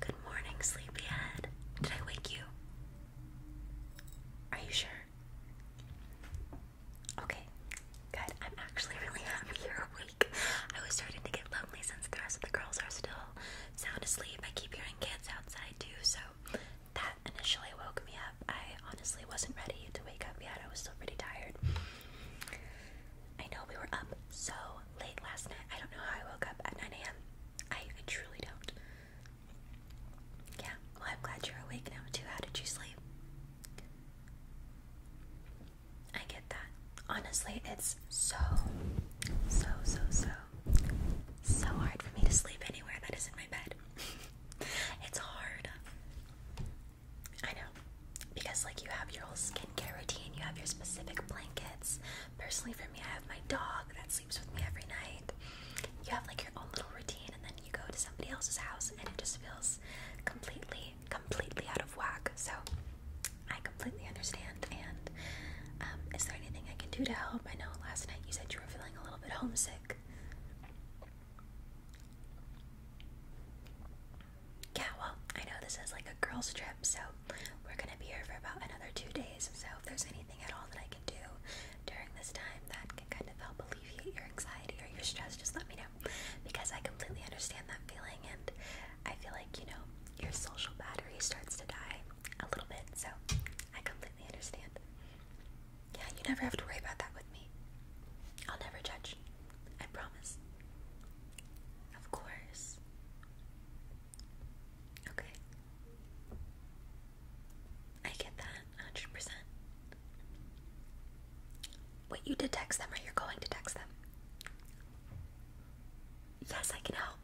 Good morning, sleepyhead. Did I wake you? Are you sure? Okay, good. I'm actually really happy you're awake. I was starting to get lonely since the rest of the girls are still sound asleep. I keep hearing kids outside too, so that initially woke me up. I honestly wasn't ready to wake up yet. I was still pretty tired. I know we were up so late last night. I don't know how I woke up at 9 a.m. I, truly don't. Yeah, well, I'm glad you're awake now, too. How did you sleep? I get that. Honestly, it's so, so, so, so, so hard for me to sleep anywhere that isn't my bed. it's hard. I know. Because, like, you have your whole skincare routine, you have your specific blankets. Personally, for me, I have my dog that sleeps with me every night. You have, like, your own little routine, and then you go to somebody else's house, and it just feels completely, completely out of whack. So, I completely understand. And, um, is there anything I can do to help? I know last night you said you were feeling a little bit homesick yeah, well, I know this is like a girls' trip, so we're gonna be here for about another two days. So if there's anything at all that I can do during this time that can kind of help alleviate your anxiety or your stress, just let me know because I completely understand that feeling, and I feel like you know your social battery starts to die a little bit. So I completely understand. Yeah, you never have to worry about that with me. I'll never judge. I promise. Of course. Okay. I get that 100%. Wait, you did text them or you're going to text them? Yes, I can help.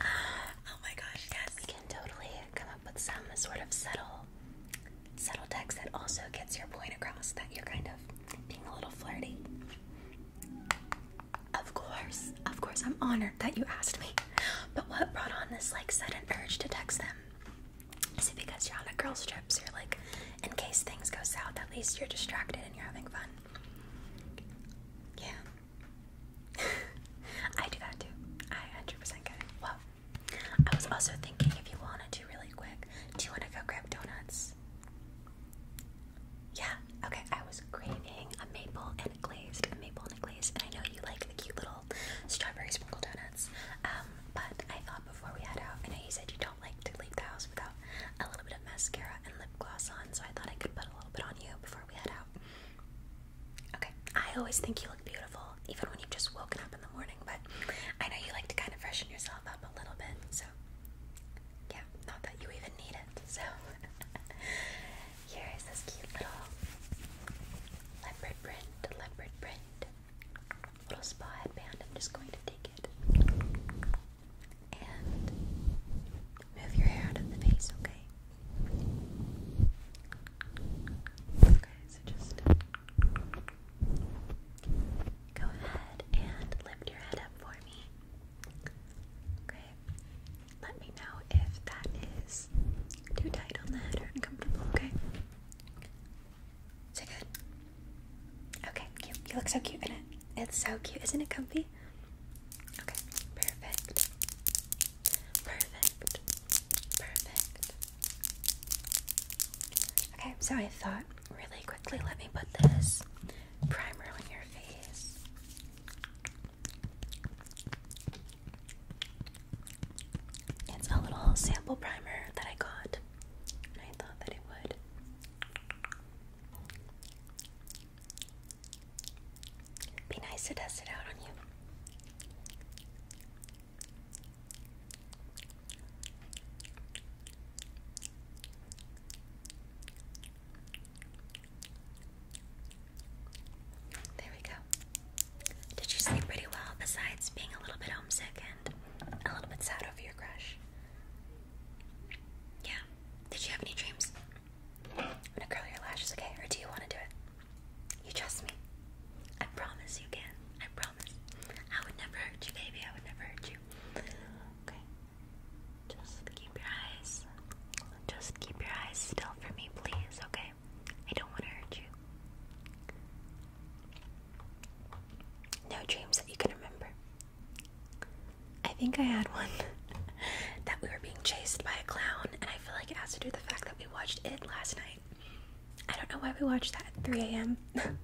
Oh my gosh, yes. We can totally come up with some sort of subtle, subtle text that also gets your point across that you're kind of being a little flirty. Of course, of course, I'm honored that you asked me. But what brought on this like sudden urge to text them? Is it because you're on a girls' trip, so you're like, in case things go south, at least you're distracted and you're having fun? Yeah. I do that too. I 100% get it. Well, I was also thinking if you wanted to really quick, do you want to go grab donuts? Yeah, okay, I was craving a maple and a maple and a and I know you like the cute little strawberry sprinkle donuts, um, but I thought before we head out, I know you said you don't like to leave the house without a little bit of mascara and lip gloss on, so I thought I could put a little bit on you before we head out. Okay, I always think you look beautiful, even when you've just woken up in the morning, but I know you like to kind of freshen yourself up a little bit, so, yeah, not that you even need it. So, here is this cute little leopard print, leopard print little spa headband. I'm just going to take it and move your hair out of the face, okay? Okay, so just Go ahead and lift your head up for me. Okay. Let me know if that is too tight on the head or uncomfortable, okay? Is it good? Okay, cute. You look so cute in it. It's so cute. Isn't it comfy? Okay, perfect. Perfect. Perfect. Okay, so I thought really quickly, let me put this primer on your face. It's a little sample primer that I got, I thought that it would. Be nice to test it out on you. There we go. Did you sleep pretty well besides being a little bit homesick and a little bit sad over your crush? Yeah. Did you have any dreams? I'm gonna curl your lashes, okay? Or do you wanna do it? You trust me. I promise you can. I promise. I would never hurt you, baby. I would never hurt you. Okay. Just keep your eyes. Just keep your eyes still for me, please, okay? I don't want to hurt you. No dreams that you can remember. I think I had one that we were being chased by a clown, and I feel like it has to do with the fact that we watched it last night. I don't know why we watched that at 3 a.m.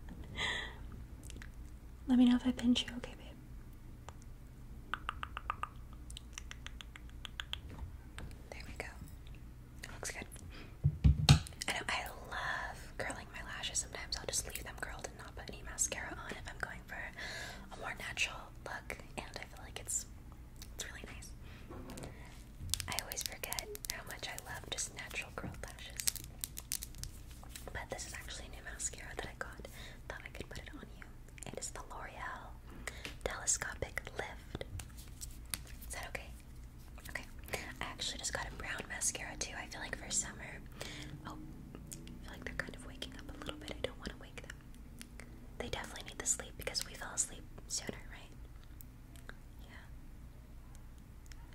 Let me know if I pinch you, okay, babe? There we go. looks good. I I love curling my lashes. Sometimes I'll just leave them curled and not put any mascara on if I'm going for a more natural look, and I feel like it's it's really nice. I always forget how much I love just natural curled lashes. But this is actually a new mascara that I got. Thought I could put it on you. It is the L'Oreal Telescopic Lift. Is that okay? Okay. I actually just got a brown mascara too. I feel like for summer. Oh, feel like they're kind of waking up a little bit. I don't want to wake them. They definitely need the sleep because we fell asleep sooner, right? Yeah.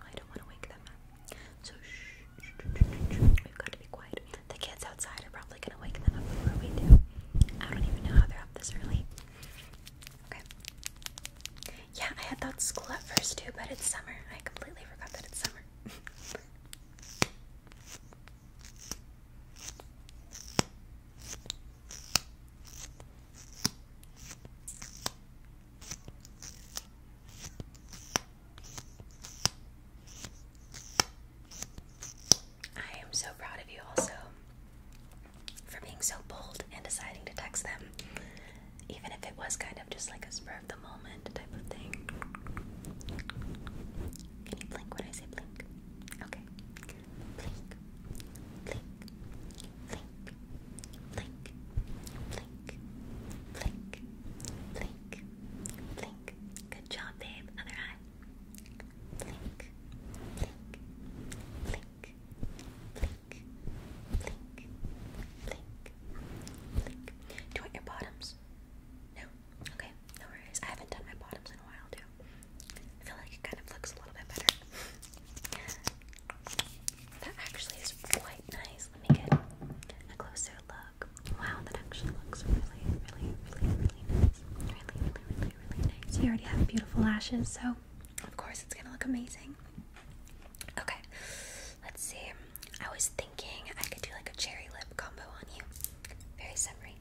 I don't want to wake them up. So shh, We've got to be quiet. The kids outside are probably gonna wake them up before we do. I don't even know how they're up this early. Okay. Yeah, I had thought school at first too, but it's summer. I completely forgot that it's summer. I am so proud of you also for being so bold and deciding to text them, even if it was kind of just like a spur of the moment type of thing. Can you blink when I say blink? Okay. Blink, blink, blink, blink, blink, blink, blink, blink, blink. Good job, babe. Other eye. Blink, blink, blink, blink, blink, blink, blink. Do you want your bottoms? No? Okay, no worries. I haven't done my bottoms in a while, too. I feel like it kind of looks a little bit better. That actually is quite nice. Let me get a closer look. Wow, that actually looks really, really, really, really nice. Really, really, really, really nice. You already have beautiful lashes, so of course it's gonna look amazing. Okay, let's see. I was thinking I could do like a cherry lip combo on you. Very summery.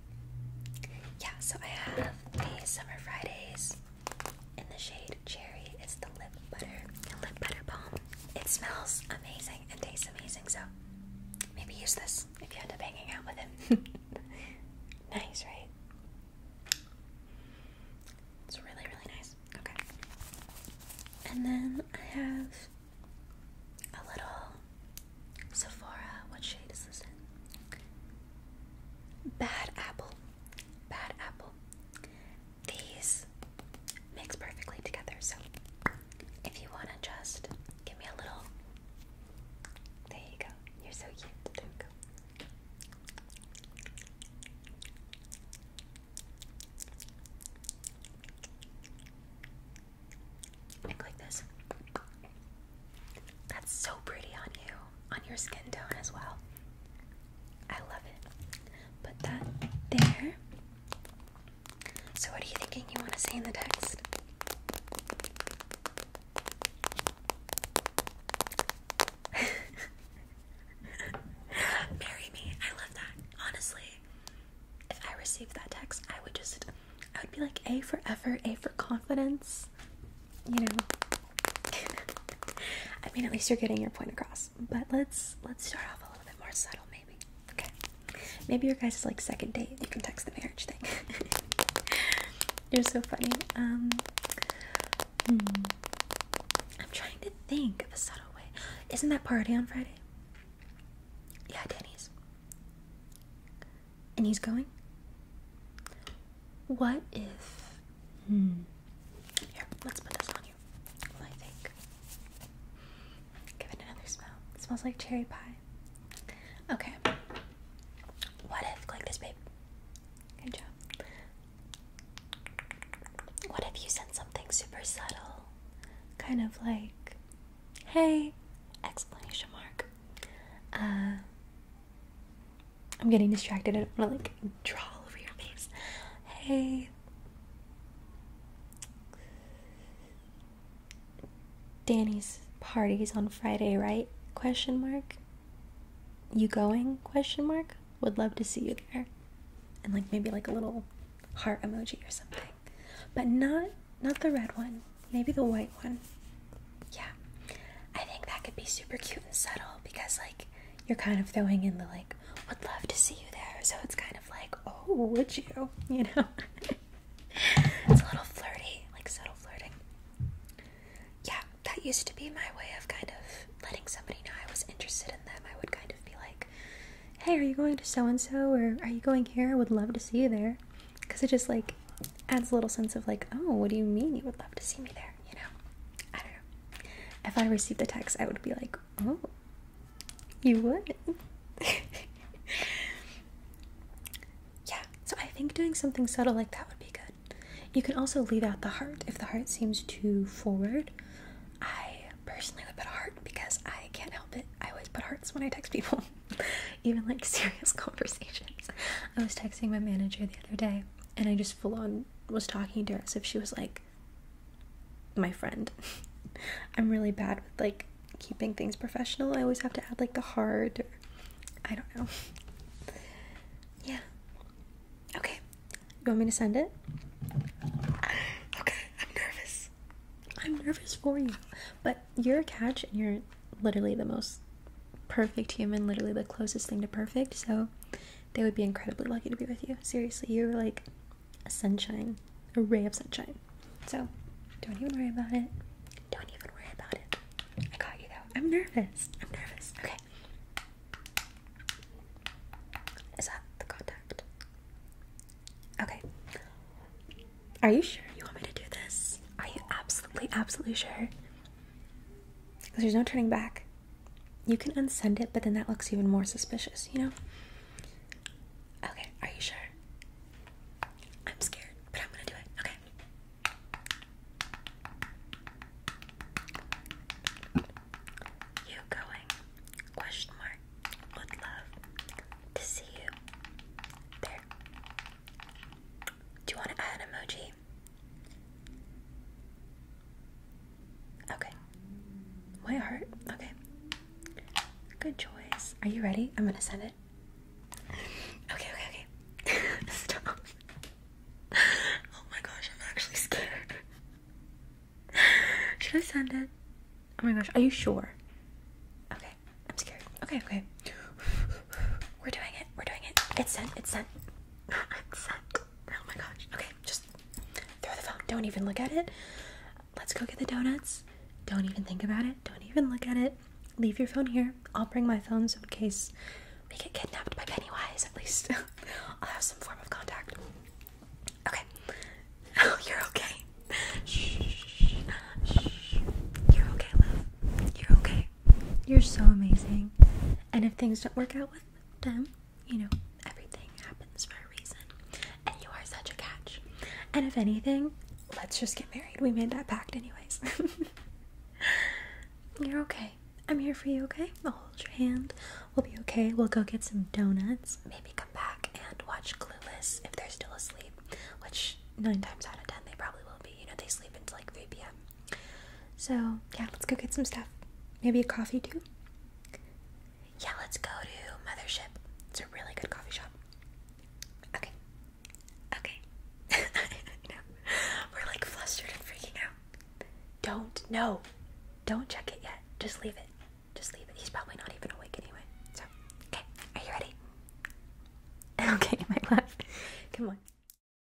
Yeah, so I have the Summer Fridays in the shade Cherry. It's the lip butter, the lip butter balm. It smells amazing and tastes amazing, so maybe use this if you end up hanging out with him. nice, right? It's really, really nice. Okay. And then I have a little Sephora. What shade is this Bad Apple. Bad Apple these mix perfectly together. So if you want to just give me a little. There you go. You're so cute. Look like this. That's so pretty on you, on your skin tone as well. I love it. Put that there. So, what are you thinking you want to say in the text? Marry me. I love that. Honestly, if I received that text, I would just, I would be like, A forever, A for confidence. You know, I mean, at least you're getting your point across. But let's let's start off a little bit more subtle, maybe. Okay. Maybe your guys' like second date. You can text the marriage thing. you're so funny. Um, hmm. I'm trying to think of a subtle way. Isn't that party on Friday? Yeah, Danny's. And he's going. What if? Hmm. Here, let's put this on you. I think? Give it another smell. smells like cherry pie. Okay. What if? Click this, babe. Good job. What if you sent something super subtle? Kind of like, hey, exclamation mark. Uh, I'm getting distracted. I don't want to like draw all over your face. Hey. Danny's party's on Friday, right? Question mark. You going? Question mark. Would love to see you there. And like maybe like a little heart emoji or something. But not not the red one. Maybe the white one. Yeah. I think that could be super cute and subtle because, like, you're kind of throwing in the, like, would love to see you there. So it's kind of like, oh, would you? You know? it's a little flirty, like subtle flirting. Yeah, that used to be my way of kind of letting somebody know I was interested in them. I would kind of be like, hey, are you going to so and so? Or are you going here? I would love to see you there. Because it just, like, adds a little sense of, like, oh, what do you mean you would love to see me there? you know? If I received a text, I would be like, oh, you would. yeah, so I think doing something subtle like that would be good. You can also leave out the heart if the heart seems too forward. I personally put a heart because I can't help it. I always put hearts when I text people, even like serious conversations. I was texting my manager the other day and I just full on was talking to her as if she was like my friend. I'm really bad with like keeping things professional. I always have to add like the hard. I don't know. yeah. Okay. You want me to send it? Okay, I'm nervous. I'm nervous for you. But you're a catch and you're literally the most perfect human, literally the closest thing to perfect. So they would be incredibly lucky to be with you. Seriously, you're like a sunshine, a ray of sunshine. So don't even worry about it. Don't even worry about it. I got you though. I'm nervous. I'm nervous. Okay. Is that the contact? Okay. Are you sure you want me to do this? Are you absolutely, absolutely sure? Because there's no turning back. You can unsend it, but then that looks even more suspicious, you know? Okay, are you sure? I'm scared, but I'm gonna do it. Okay. You going? Question mark. Would love to see you there. Do you want to add emoji? Okay. My heart. Okay. Good choice. Are you ready? I'm gonna send it. Okay, okay, okay. Stop. Oh my gosh, I'm actually scared. Should I send it? Oh my gosh, are you sure? Okay, I'm scared. Okay, okay. We're doing it. We're doing it. It's sent. It's sent. oh my gosh. Okay, just throw the phone. Don't even look at it. Let's go get the donuts. Don't even think about it. Don't even look at it. Leave your phone here. I'll bring my phone so in case we get kidnapped by Pennywise, at least I'll have some form of contact. Okay. Oh, you're okay. Shh. You're okay, love. You're okay. You're so amazing. And if things don't work out well, them, you know, everything happens for a reason. And you are such a catch. And if anything, let's just get married. We made that pact, anyways. You're okay. I'm here for you, okay? I'll hold your hand. We'll be okay. We'll go get some donuts. Maybe come back and watch Clueless if they're still asleep, which nine times out of ten they probably will be. You know, they sleep until like 3 p.m. So, yeah, let's go get some stuff. Maybe a coffee too? Yeah, let's go to Mothership. It's a really good coffee shop. Okay. Okay. We're like flustered and freaking out. Don't, know. Don't check it yet. Just leave it. Just leave it. He's probably not even awake anyway. So, okay. Are you ready? Okay, my love. Come on.